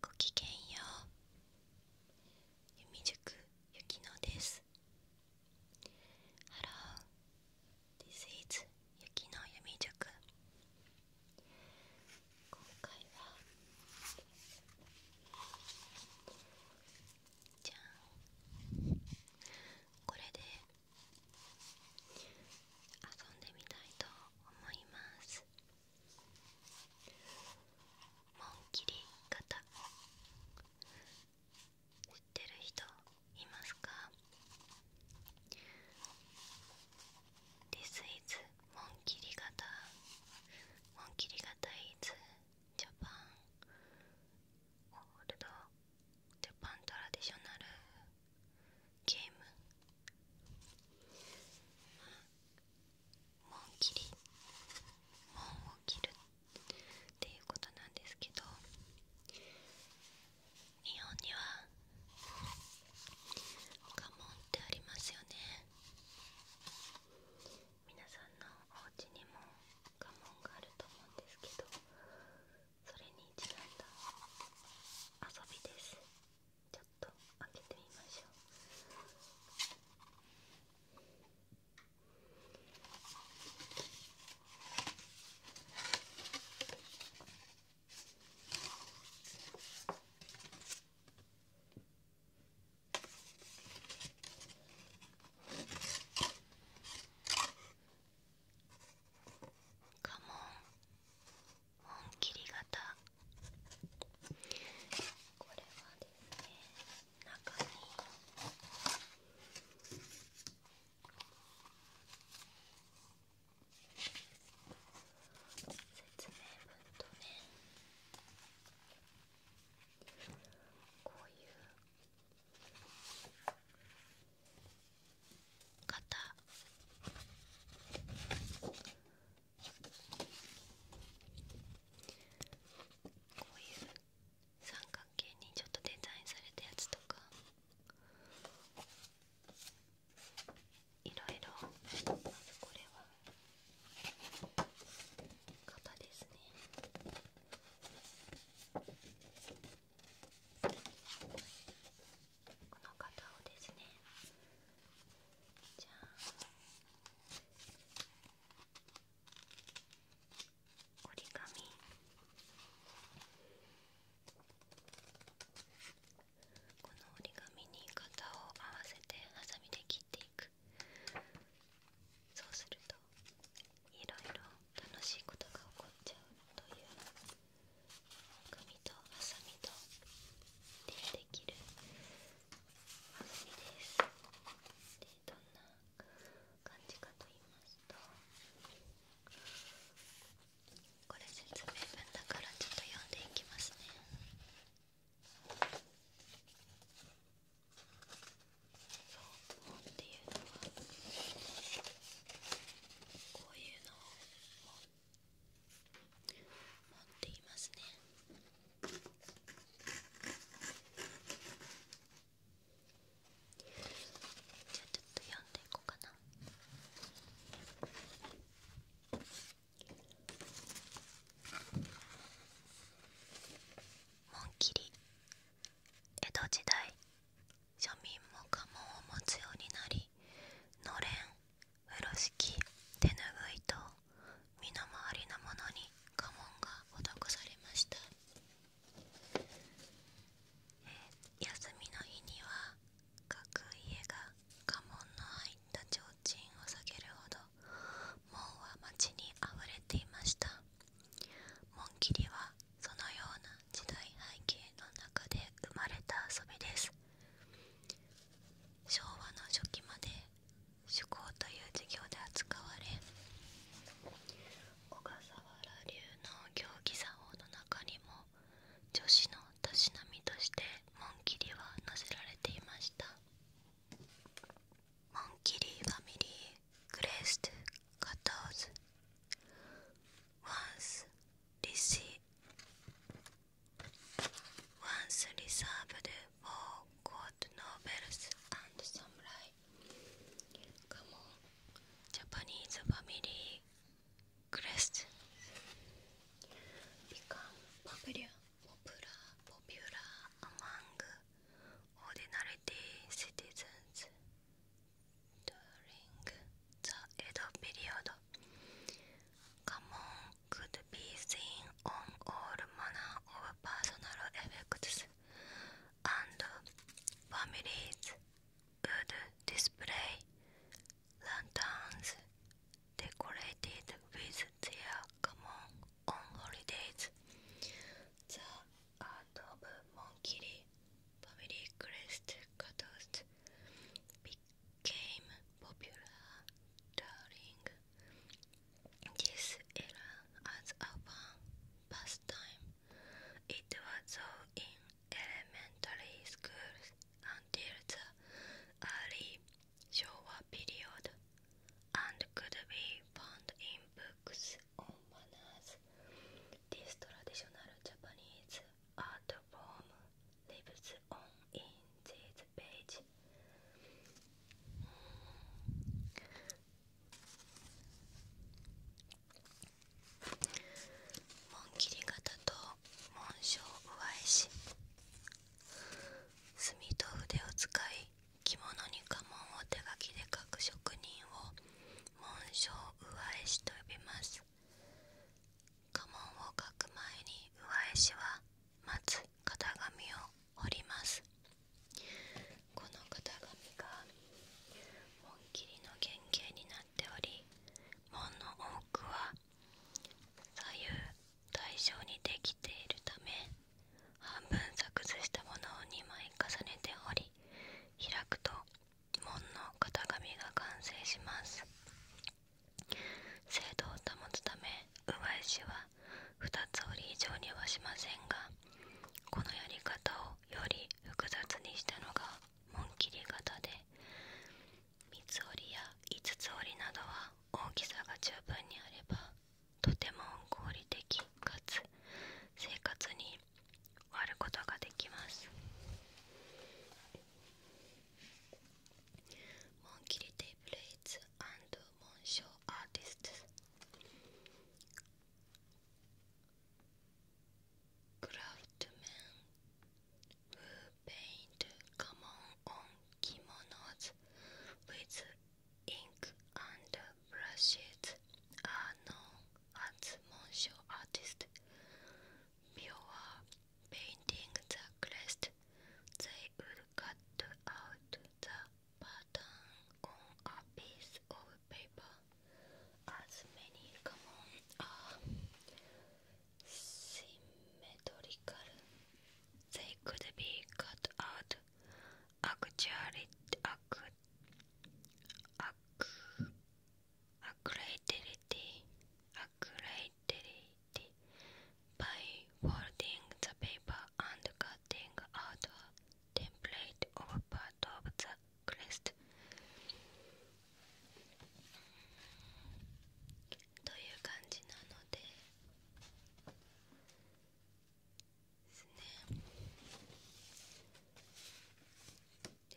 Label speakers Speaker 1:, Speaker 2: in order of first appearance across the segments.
Speaker 1: ごきげんよう弓塾ゆきのです Hello, this is ゆきの弓塾今回はじゃんこれで遊んでみたいと思います紋切り型。売ってる人いますか ?This is 紋切り方紋切り型 is Japan Old Japan Traditional ゲーム門切り門を切るっていうことなんですけど日本には家紋ってありますよね皆さんのお家にも家紋があると思うんですけどそれにちなんだ遊びです。ちょっと開けてみましょうカモン本切り型これはですね中に説明文とねこういう型こういう三角形にちょっとデザインされたやつとかいろいろまずこれは型ですねこの方をですねじゃあ折り紙この折り紙に型を合わせてハサミで切っていくそうするといろいろ楽しいことが起こっちゃうという紙とハサミとでできるハサミですでどんな感じかと言いますとこれ説明文だからちょっと読んでいきますねそう本っていうのはこういうのを持っていますねじゃあちょっと読んでいこうかな紋切り江戸時代庶民も家紋を持つようになりのれん風呂敷手ぬぐいと身の回りのものに家紋が施されました、休みの日には各家が家紋の入った提灯を下げるほど門は街にあふれていました紋切りはそのような時代背景の中で生まれた遊びです昭和の初期まで趣向という授業で扱われ小笠原流の行儀作法の中にも女子のたしなみとしてモンキリは載せられていましたモンキリファミリーグレーストカトーズワンスリシー once reserved oh for court nobles and samurai. Come Japanese family crest become popular, among ordinary citizens during the Edo period could be seen on all manner of personal effects, and families would display lanterns decorated with their common on holidays. The art of Monkiri family crest cutters became popular during this era as a fun pastime. It was so in elementary schools until the early Showa period and could be found in books on manners. This traditional Japanese art form lives on in these p a g 紋切り型と紋章上絵師」「墨と筆を使い着物に家紋を手書きで書く職人を紋章上絵師と呼びます」家紋を書く前に上絵師はまず型紙を折りますこの型紙が本切りの原型になっており門の多くは左右対称にできているため半分削除したものを2枚重ねており開くと門の型紙が完成します精度を保つため上石は2つ折り以上にはしませんがこのやり方をより複雑にしたのが紋切り型で3つ折りや5つ折りなどは大きさが十分にあればとても合理的かつ生活に割ることができます Monkility Blades and Monsho Artists Craftsmen who paint kimonos with ink and brushes are known as Monsho Artists. Pure painting the crest, they would cut out the pattern on a piece of paper, as many common are symmetrical. They could be cut out actually accurately, accurately, by folding the paper and cutting out a template of part of the crest. To いう感じなのでですね。で、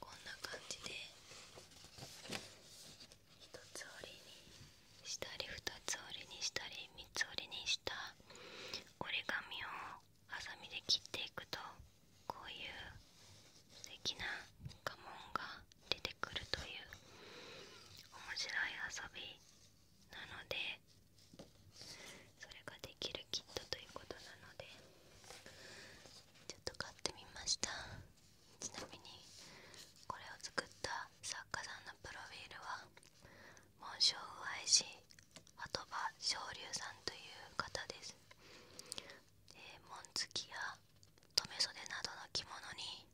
Speaker 1: こんな感じで1つ折りにしたり2つ折りにしたり3つ折りにした折り紙をハサミで切っていくとこういう素敵な家紋が出てくるという面白い遊びなのでそれができるキットということなのでちょっと買ってみました。ちなみにこれを作った作家さんのプロフィールは紋章を愛し鳩場昇龍さんという方ですで紋付きや留め袖などの着物に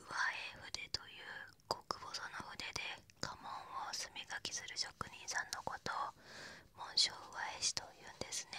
Speaker 1: 上上絵筆という極細の筆で家紋を墨書きする職人さんのことを紋章を愛しというんですね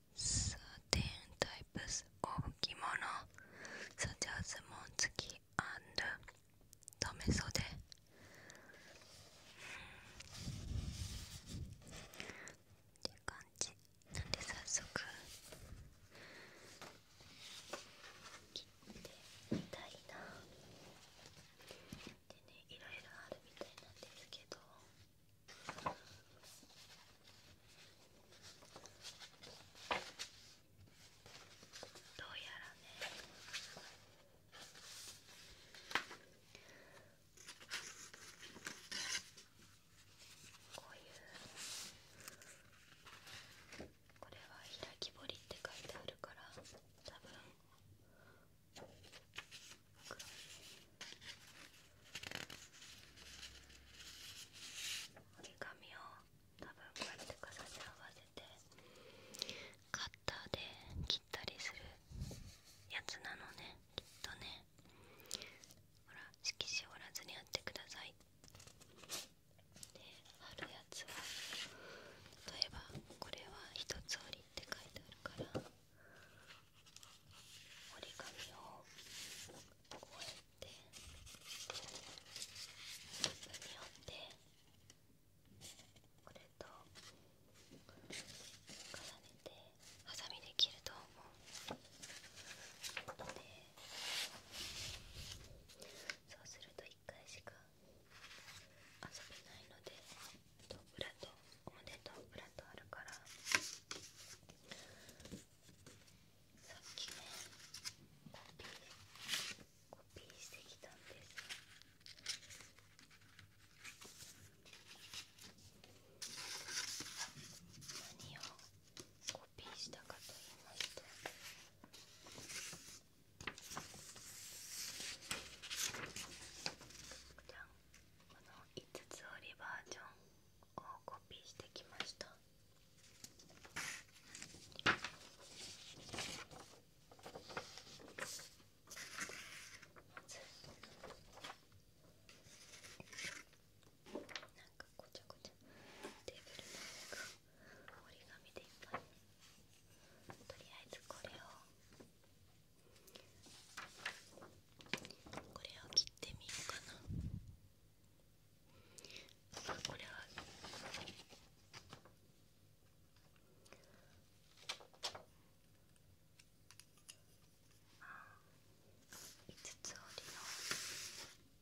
Speaker 1: certain types of kimono, such as monzuki and tomesode.「でねいろいろあるみたいなんですけど」どうやらねこういうこれは「開き彫り」って書いてあるから多分黒い折り紙を多分こうやって重ね合わせてカッターで切ったりするやつなのねきっとねほら色紙折らずにやってくださいであるやつは例えばこれは1つ折りって書いてあるから折り紙をこうやっってスーによってこれと重ねてハサミできると思うのでそうすると1回しか遊べないのでと裏と表と裏とあるから。さっきねコピーしてきたんです何をコピーしたかと言いますとこの5つ折りバージョンコピーしてきましたなんかごちゃごちゃ折り紙でいっぱいとりあえずこれをこれを切ってみようかなこれは五つ折りの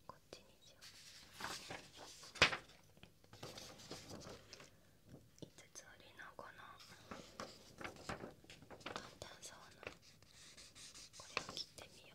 Speaker 1: こっちにしよう五つ折りのこの簡単そうなこれを切ってみよう。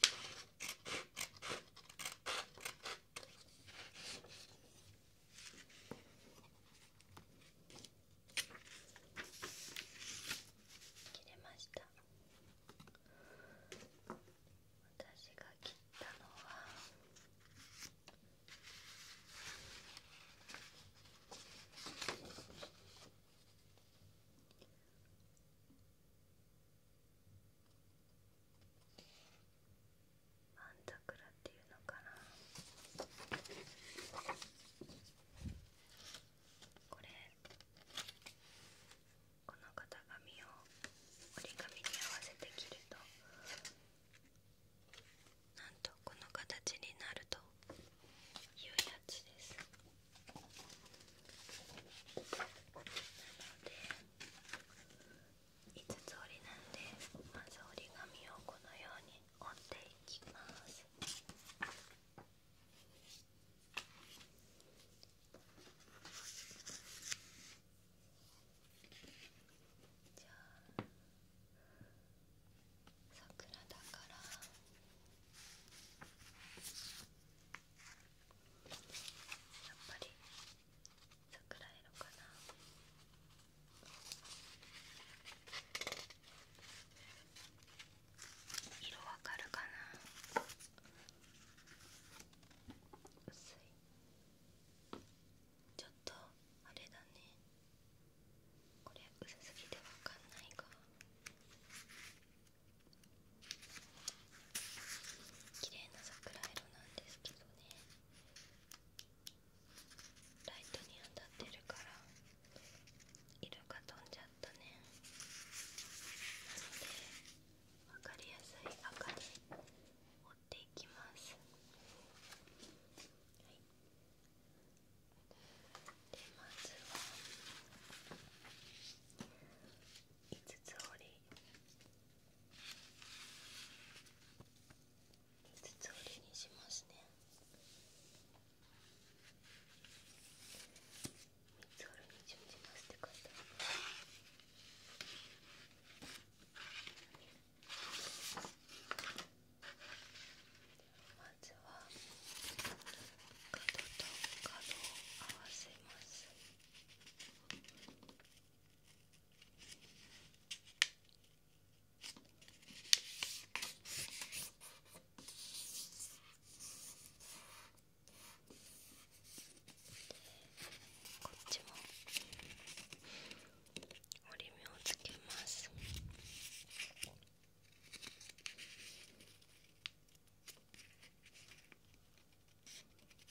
Speaker 1: 切れました私が切ったのはマンザクラっていうのかなこれこの型紙を折り紙に合わせて切るとなんとこの形になるというやつですなので5つ折りなんでまず折り紙をこのように折っていきますじゃあ桜だから。やっぱり桜色かな色わかるかな薄いちょっとあれだねこれ薄すぎてわかんないが。綺麗な桜色なんですけどねライトに当たってるから色が飛んじゃったねなので分かりやすい赤に。折っていきますでまずは5つ折り筒折りにしますね三つ折りに準ますって書いてあるまずは角と角を合わせます。こっちも折り目をつけます。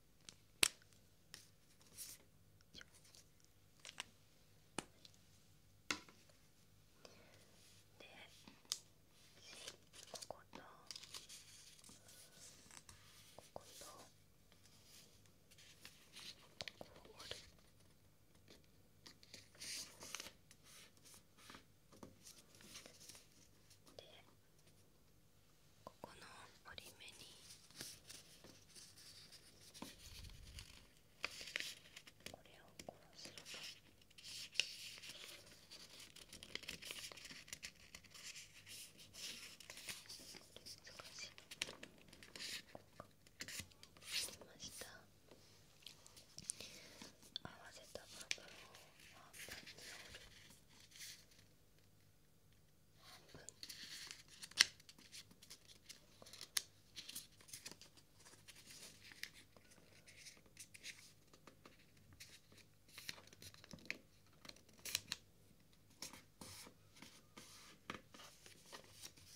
Speaker 1: でこことこことここを折る。でここの折り目にこれをこうすると難しいました合わせた部分を半分に折る。半分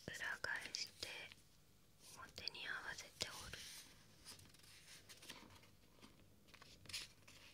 Speaker 1: 裏返して表に合わせて折る。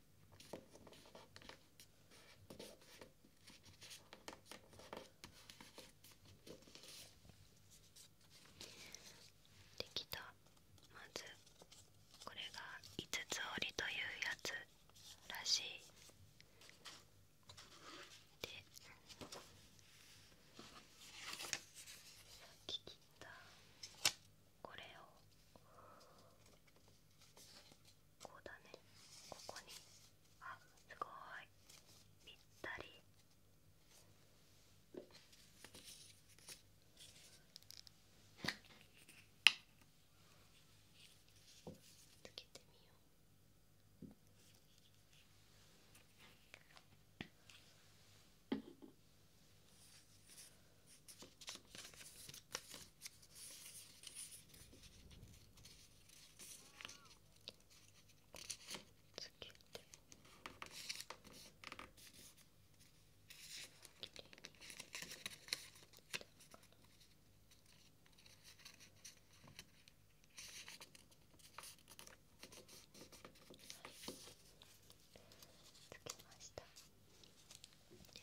Speaker 1: できたまずこれが五つ折りというやつらしいでさっき切ったこれをこうだねここにあすごいぴったりつけてみよう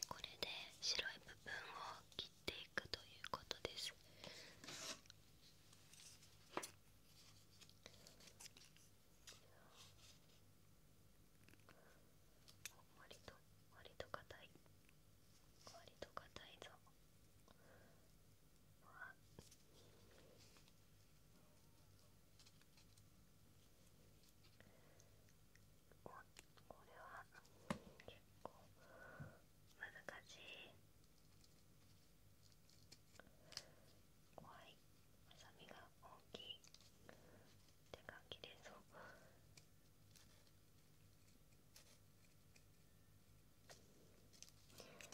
Speaker 1: これで白い部分を切って。っていくということです。割と割と硬い割と硬いぞ。これは結構難しい怖いハサミが大きいって感じで、そうどうやって切ろうこっ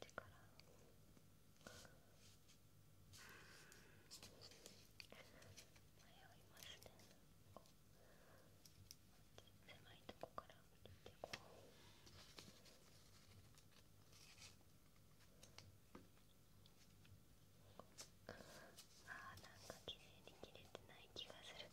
Speaker 1: ちから。ますね狭いとこから見てこうあーなんか綺麗に切れてない気がする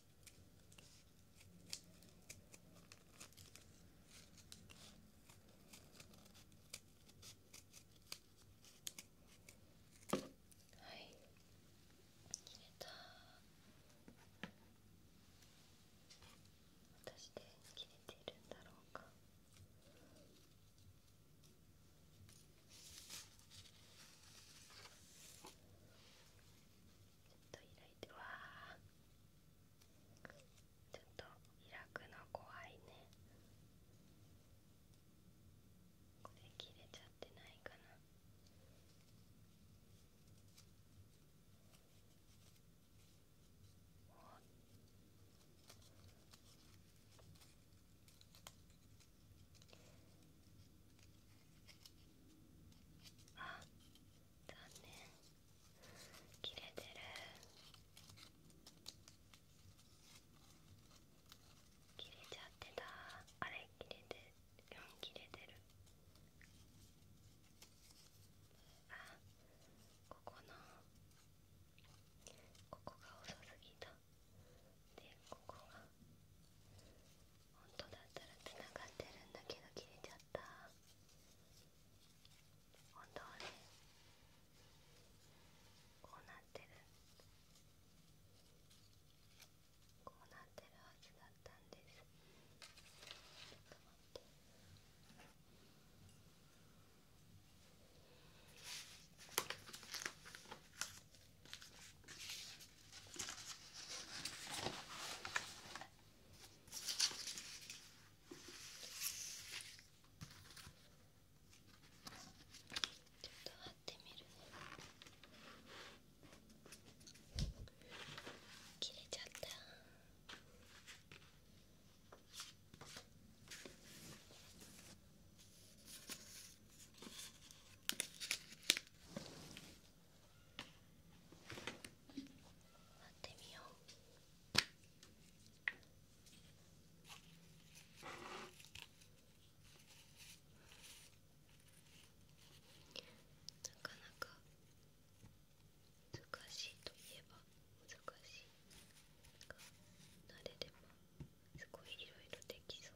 Speaker 1: はい切れた私で切れているんだろうかと開いてわあちょっと開くの怖いねこれ切れちゃってないかなおっあ残念切れてる切れちゃってたあれ切れてるうん切れてるあここのここが遅すぎたでここが本当だったらつながってるんだけど切れちゃった本当はねこうなってるこうなってるはずだったんですちょっと待ってこちょっと貼ってみるね切れちゃったこやってみよう。なかなか難しいといえば難しいが慣れればすごいいろいろできそう。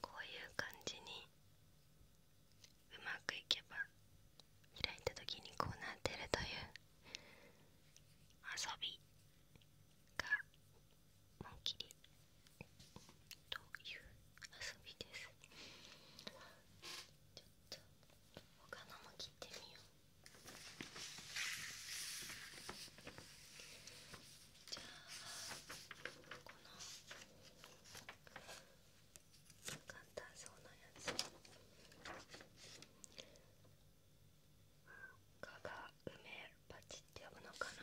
Speaker 1: こういう感じにうまくいけば開いた時にこうなってるという遊びがもうきりという遊びですちょっと他のも切ってみようじゃあこの簡単そうなやつ加賀梅バチって呼ぶのかな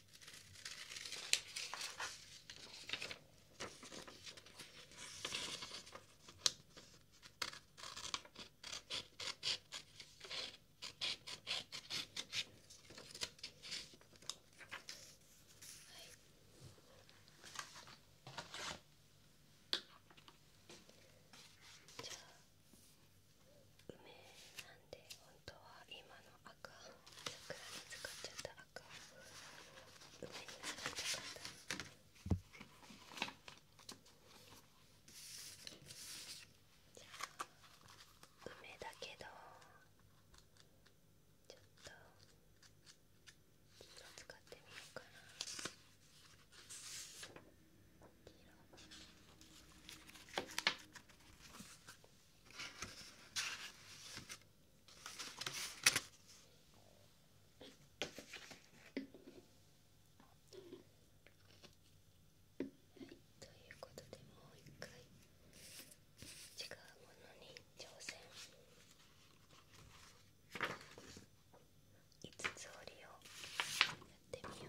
Speaker 1: 梅なんなんで本当は今の赤桜に使っちゃった赤梅に使いたかったじゃあ梅だけどちょっとちょっと使ってみようかな黄色はい、ということでもう一回違うものに挑戦五つ折りをやってみよう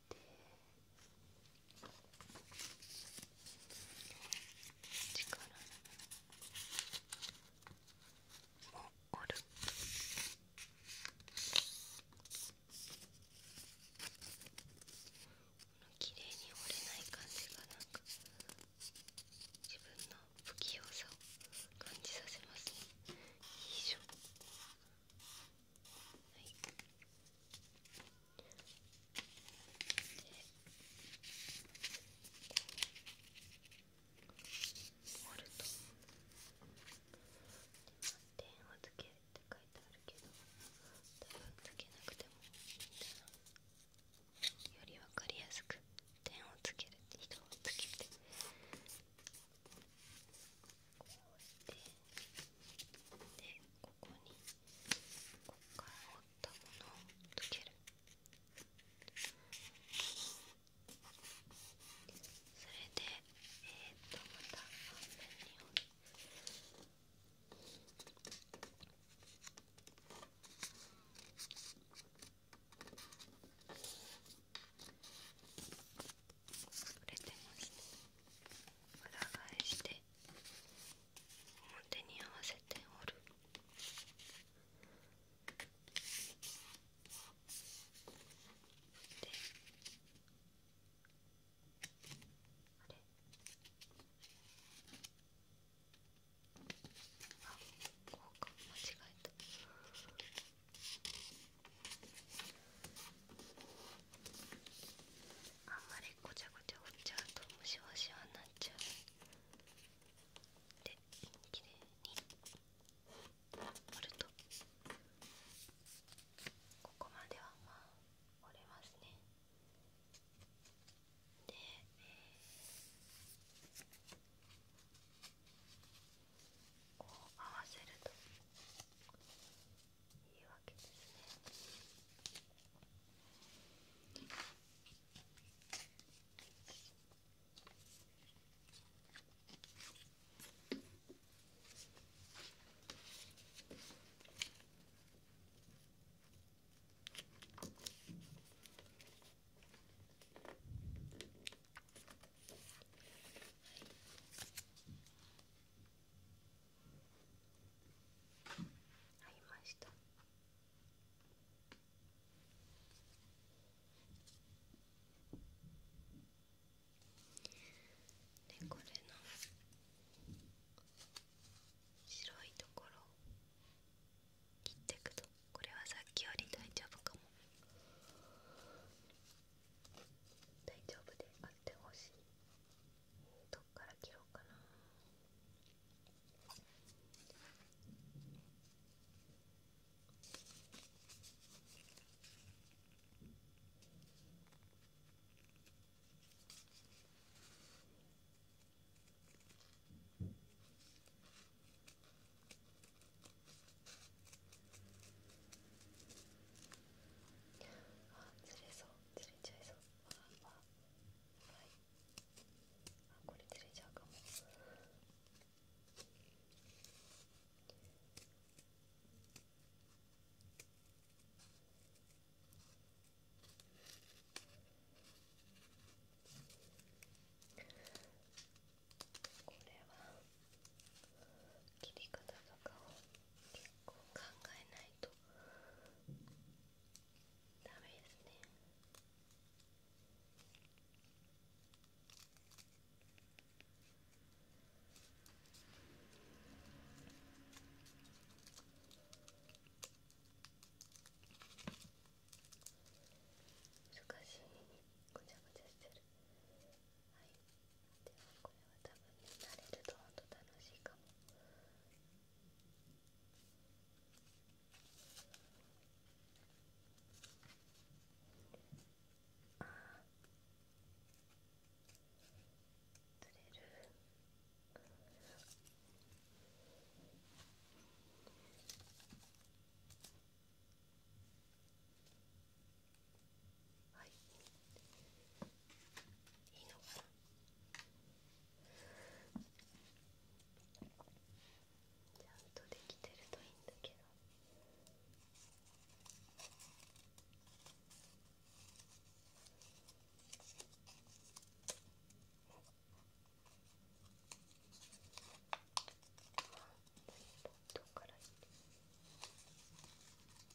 Speaker 1: 力もある。綺麗に折れない感じがなんか自分の不器用さを感じさせますね。いいしょ。はいモると。点をつけるって書いてあるけど多分つけなくてもよりわかりやすく点をつける人をつけてこうやてでここにここから折ったものをつけるそれでえっとまた半分に折るでれてますね裏返して表に合わせて折るであれあこうか間違えた。あんまりごちゃごちゃ折っちゃうとムシワシワになっちゃうで綺麗に折るとここまではまあ折れますねで、えー、こう合わせるというわけですね。はい、ありましたでこれの白いところを切っていくとこれはさっきより大丈夫かも。大丈夫であってほしいどっから切ろうかなあずれそうずれちゃいそうああはいあこれずれちゃうかもこれは切り方とかを結構考えないとダメですね難しいごちゃごちゃしてる。はいでもこれは多分慣れるとあと楽しいかもああ釣れるあはいいいのかなちゃんとできてるといいんだけどあっットからいいあ。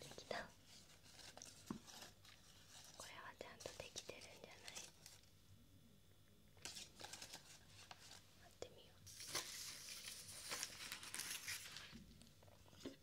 Speaker 1: できたこれはちゃんとできてるんじゃない割ってみよう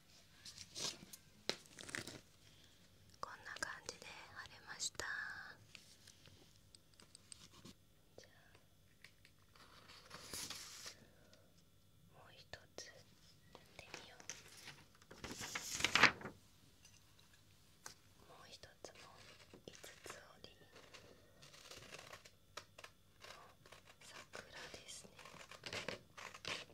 Speaker 1: こんな感じで貼れましたじゃあもう一つやってみようもう一つも五つ折りの桜ですね。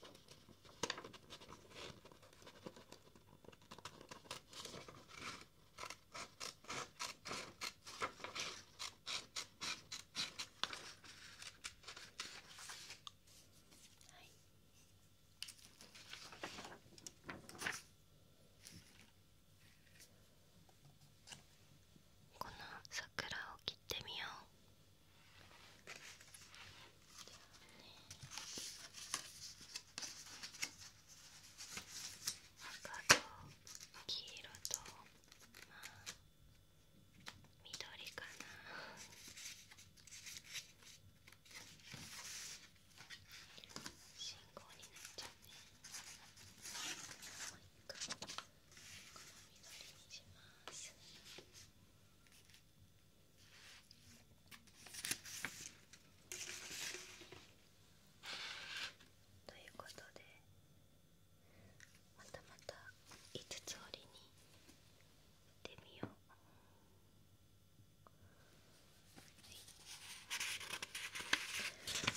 Speaker 1: この桜を切ってみよう。ね。赤と黄色とまあ緑かな信号になっちゃうねもう一回この緑にします。ということでまたまた5つ折りに行ってみよう。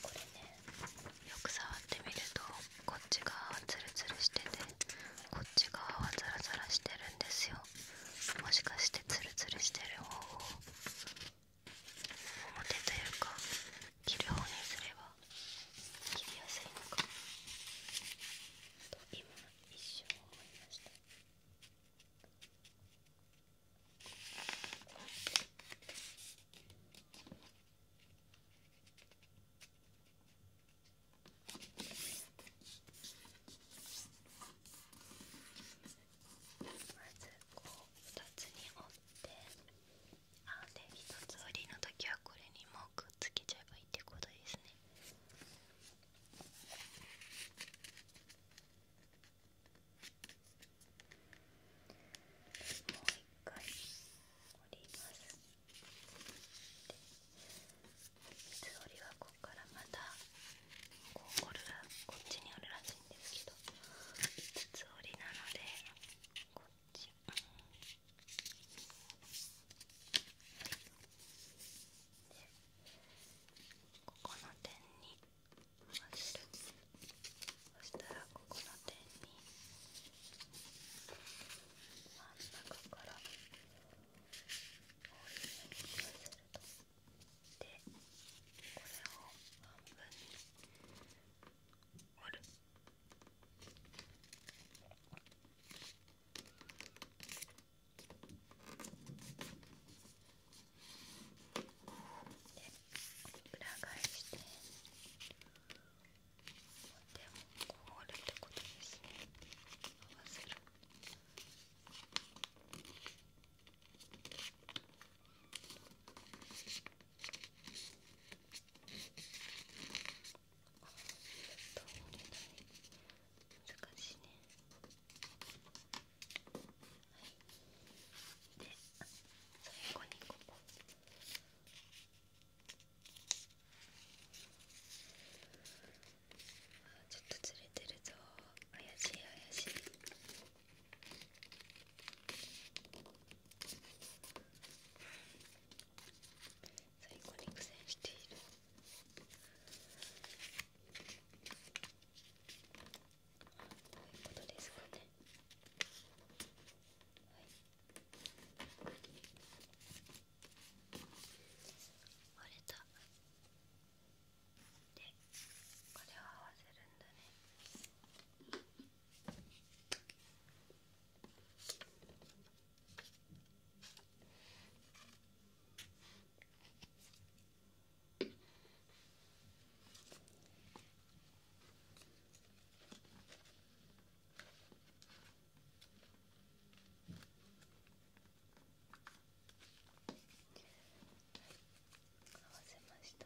Speaker 1: これねよく触ってみるとこっち側はツルツルしててこっち側はザラザラしてるんですよもしかしてツルツルしてる方を表というか切る方にすれば切りやすいのかと今一瞬思いましたこまずこう2つに折ってあで1つ折りの時はこれにもくっつけちゃえばいいってことですねもう一回折ります水鳥はここからまたここるこっちにあるらしいんですけど5つ折りなのでこっち、でここの点に合わせるそしたらここの点に真ん中から。でこれを半分に折るで裏返してでもこう折るってことですね合わせる。難しいねはいで最後にこここちょっとずれてるぞ怪しい怪しい最後に苦戦しているどういうことですかねはい割れたでこれを合わせるんだね合わせました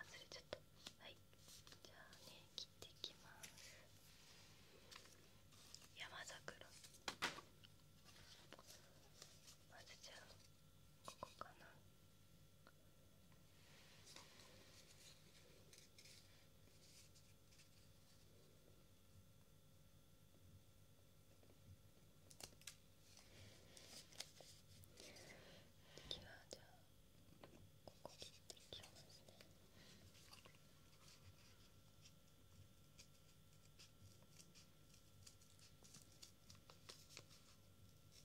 Speaker 1: あずれちゃったはいじゃあね切っていきます山桜まずじゃあここかな次はじゃあここ切っていきますね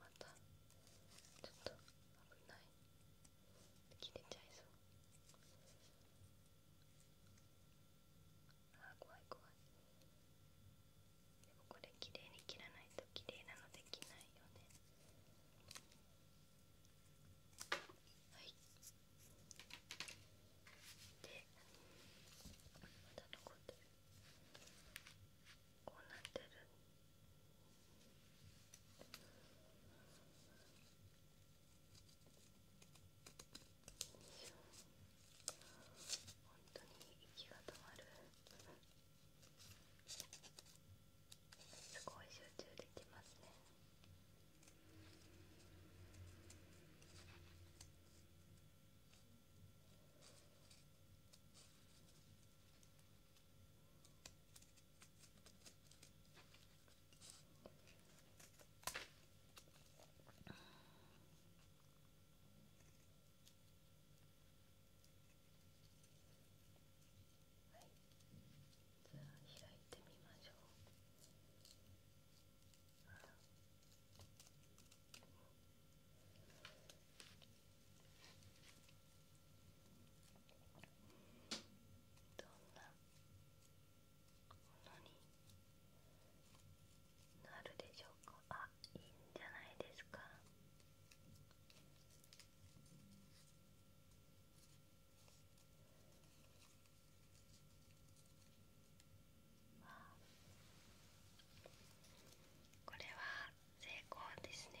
Speaker 1: またちょっと危ない切れちゃいそうあ怖い怖いこれ綺麗に切らないと綺麗なのできないよねはいでこうなってる本当に息が止まるすごい集中できますねはい、じゃあ開いてみましょう。どんなものになるでしょうかあいいんじゃないですかあ。これは成功ですね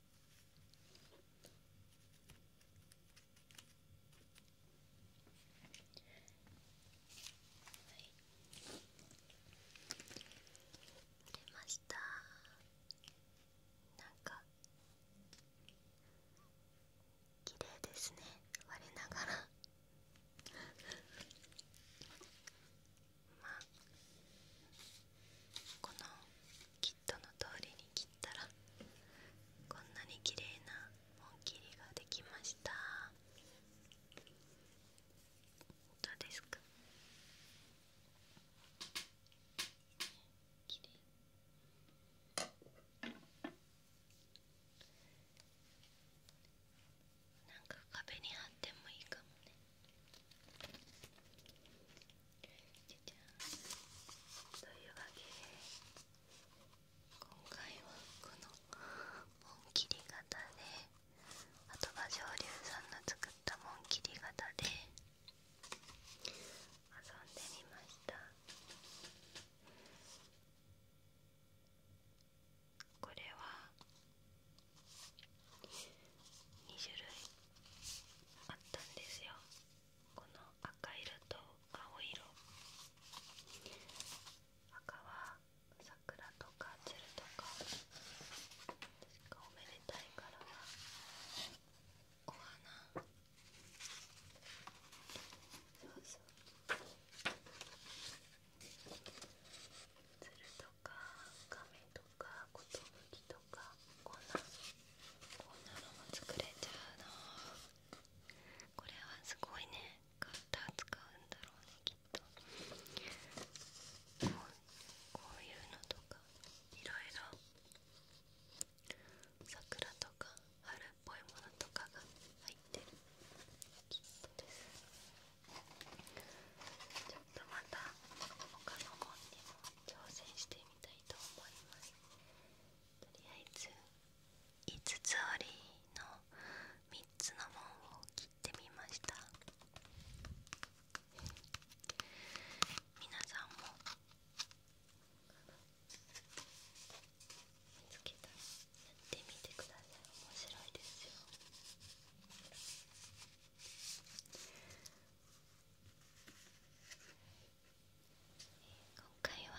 Speaker 1: はい売れましたなんか綺麗ですね我ながらまあこのキットの通りに切ったらこんなに綺麗なできましたどうですかなんか壁に貼ってもいいかもね。じゃじゃんというわけで今回はこの紋切り型であとは上流さんの作った紋切り型で遊んでみましたこれは2種類あったんですよこの赤色と青色赤は桜とか鶴とか確かおめでたいからはお花鶴とか亀とかことぶきとかこんんなもちゃうないうんだろうねいのとかいろいろ桜とか春っぽいものとかが入ってるすちょっとまた他の本に挑戦してみたいいと思いますとりあえず5つ折りの3つの紋を切ってみました皆さんも見つけたらやってみてください面白いですよ今回は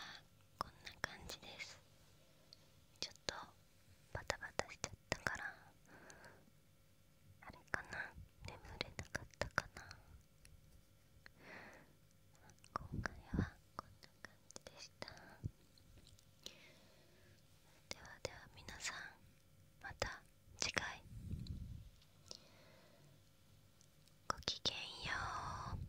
Speaker 1: こんな感じですちょっとバタバタしちゃったからあれかな眠れなかったかな今回はこんな感じでしたではでは皆さんまた次回ごきげんよう。